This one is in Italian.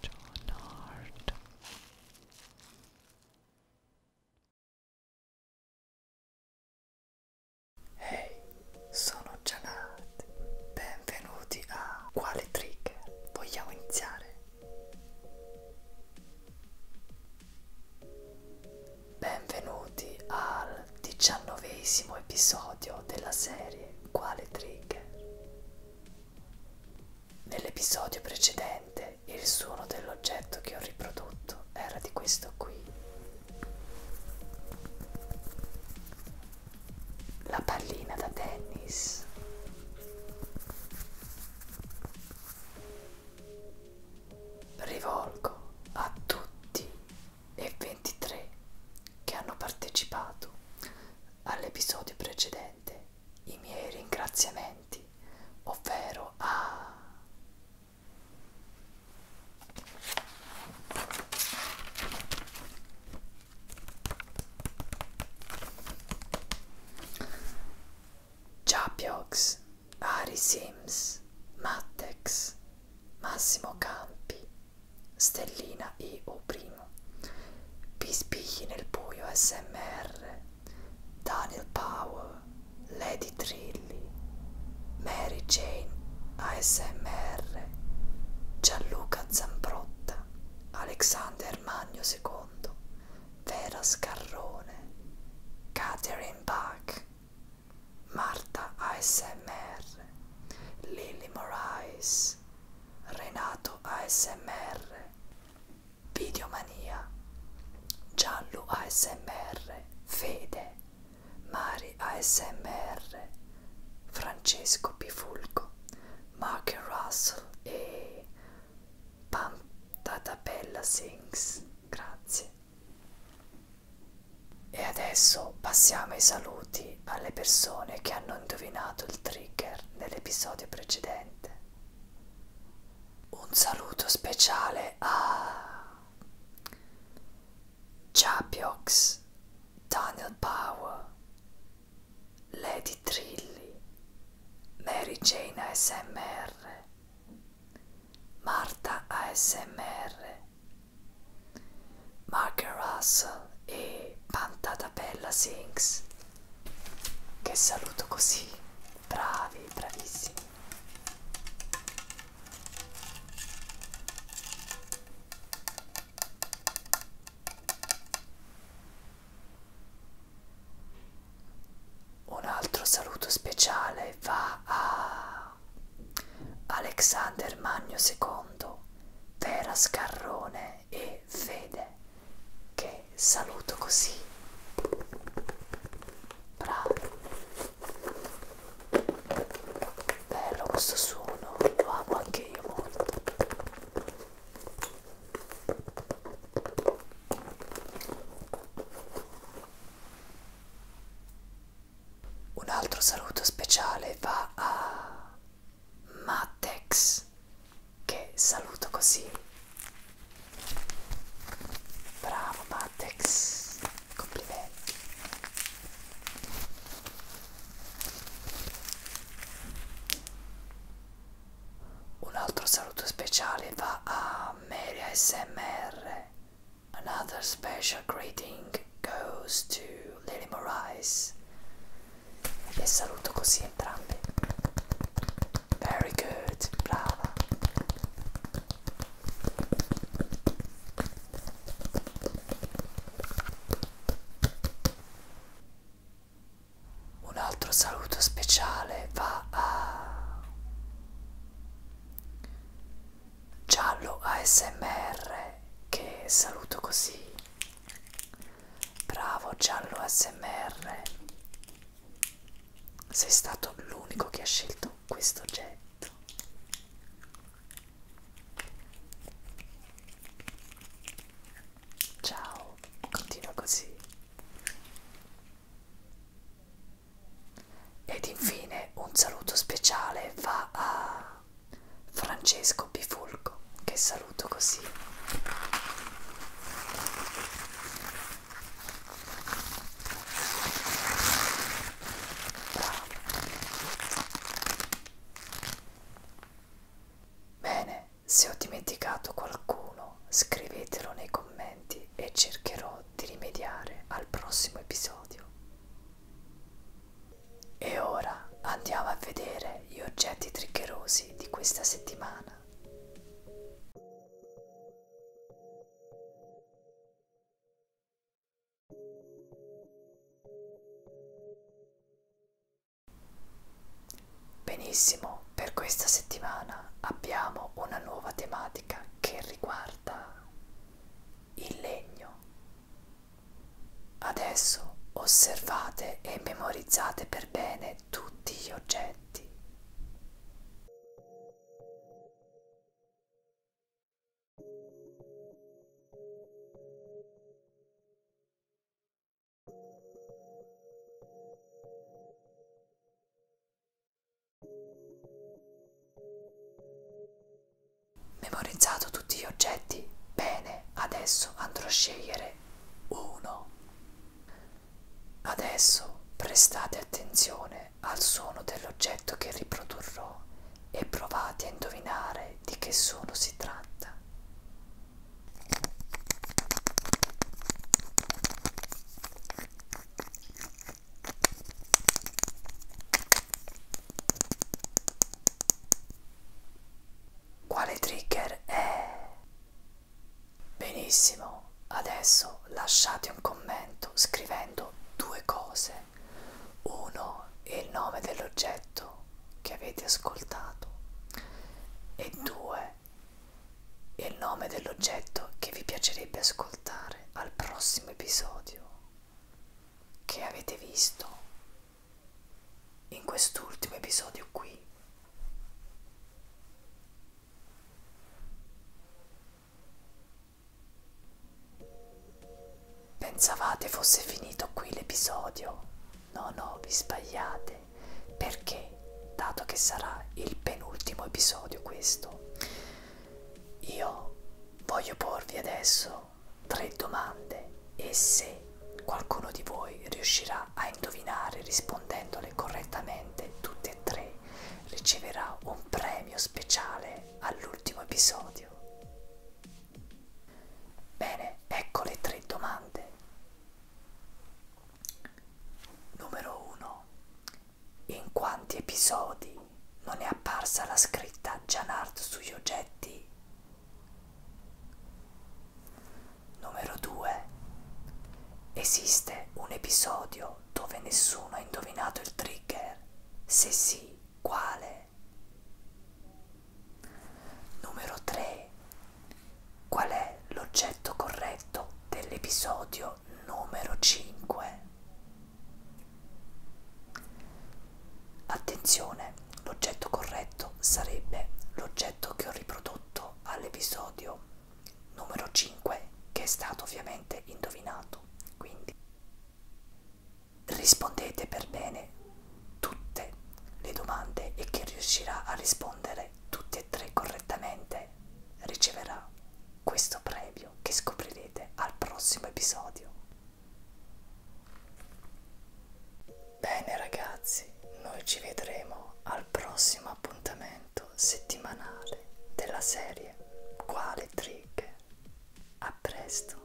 John Hart Hey, sono Janat, benvenuti a Quale Trigger? Vogliamo iniziare? Benvenuti al diciannovesimo episodio della serie quale trigger. Nell'episodio precedente il suono dell'oggetto che ho riprodotto era di questo qui. La pallina da tennis. Rivolgo a tutti e 23 che hanno partecipato all'episodio precedente i miei ringraziamenti, ovvero a Japiox, Ari Sims, Mattex, Massimo Campi, Stellina I.U. Pispigli nel buio SMR, Daniel Power, Lady Trilli, Mary Jane ASMR, Gianluca Zambrotta, Alexander Magno II, Vera Scarrone, Catherine Bach, Marta ASMR, Lily Morais, Renato ASMR, Videomania, Giallo ASMR, Fede, Mari ASMR, Francesco Pifulco, Mark Russell e Pam Tatabella Sings. Grazie. E adesso passiamo ai saluti alle persone che hanno indovinato il trigger nell'episodio precedente. Un saluto speciale a Chapiox, Daniel Power, Lady Trilli, Mary Jane ASMR, Marta ASMR, Marker Russell e Pantata Bella Sings che saluto così bravi bravissimi un altro saluto speciale va a Alexander Magno II Vera Scarrone e Fede che saluto così. Bravi. Bello questo suono, lo amo anche io molto. Un altro saluto speciale va a Matex, che saluto così. Bravo Matex, complimenti. Un altro saluto speciale va a Mary ASMR. Another special greeting goes to Lily Morais e saluto così entrambi very good brava un altro saluto speciale va a giallo ASMR che saluto così bravo giallo ASMR sei stato l'unico che ha scelto questo oggetto ciao continua così ed infine un saluto speciale va a Francesco Bifulco, che saluto così. Bravo. Bene, se ho dimenticato qualcuno, scrivetelo nei commenti e cercherò di rimediare al prossimo episodio. E ora andiamo a vedere gli oggetti triggerosi di questa settimana. Benissimo, per questa settimana abbiamo una nuova tematica che riguarda il legno. Adesso osservate e memorizzate per bene tutti gli oggetti. Memorizzato tutti gli oggetti? Bene, adesso andrò a scegliere uno. Adesso prestate attenzione al suono dell'oggetto che riprodurrò e provate a indovinare di che suono si tratta. Quale trigger è? Eh. Benissimo, adesso lasciate un commento scrivendo due cose. Uno, il nome dell'oggetto che avete ascoltato e due, il nome dell'oggetto che vi piacerebbe ascoltare al prossimo episodio che avete visto in quest'ultimo episodio qui Pensavate fosse finito qui l'episodio? No, no, vi sbagliate, perché dato che sarà il penultimo episodio questo, io voglio porvi adesso farò tre domande e se qualcuno di voi riuscirà a indovinare rispondendole correttamente tutte e tre riceverà un premio speciale all'ultimo episodio. Bene, ecco le tre domande. Numero 1. In quanti episodi non è apparsa la scritta Janard sugli oggetti Numero 2. Esiste un episodio dove nessuno ha indovinato il trigger? Se sì, quale? Numero 3. Qual è l'oggetto corretto dell'episodio numero 5? Attenzione, l'oggetto corretto sarebbe l'oggetto che ho riprodotto all'episodio numero 5 che è stato ovviamente indovinato. Quindi rispondete per bene tutte le domande e chi riuscirà a rispondere tutte e tre correttamente riceverà questo premio che scoprirete al prossimo episodio. Bene ragazzi, noi ci vedremo al prossimo appuntamento settimanale della serie Quale Trick? A presto!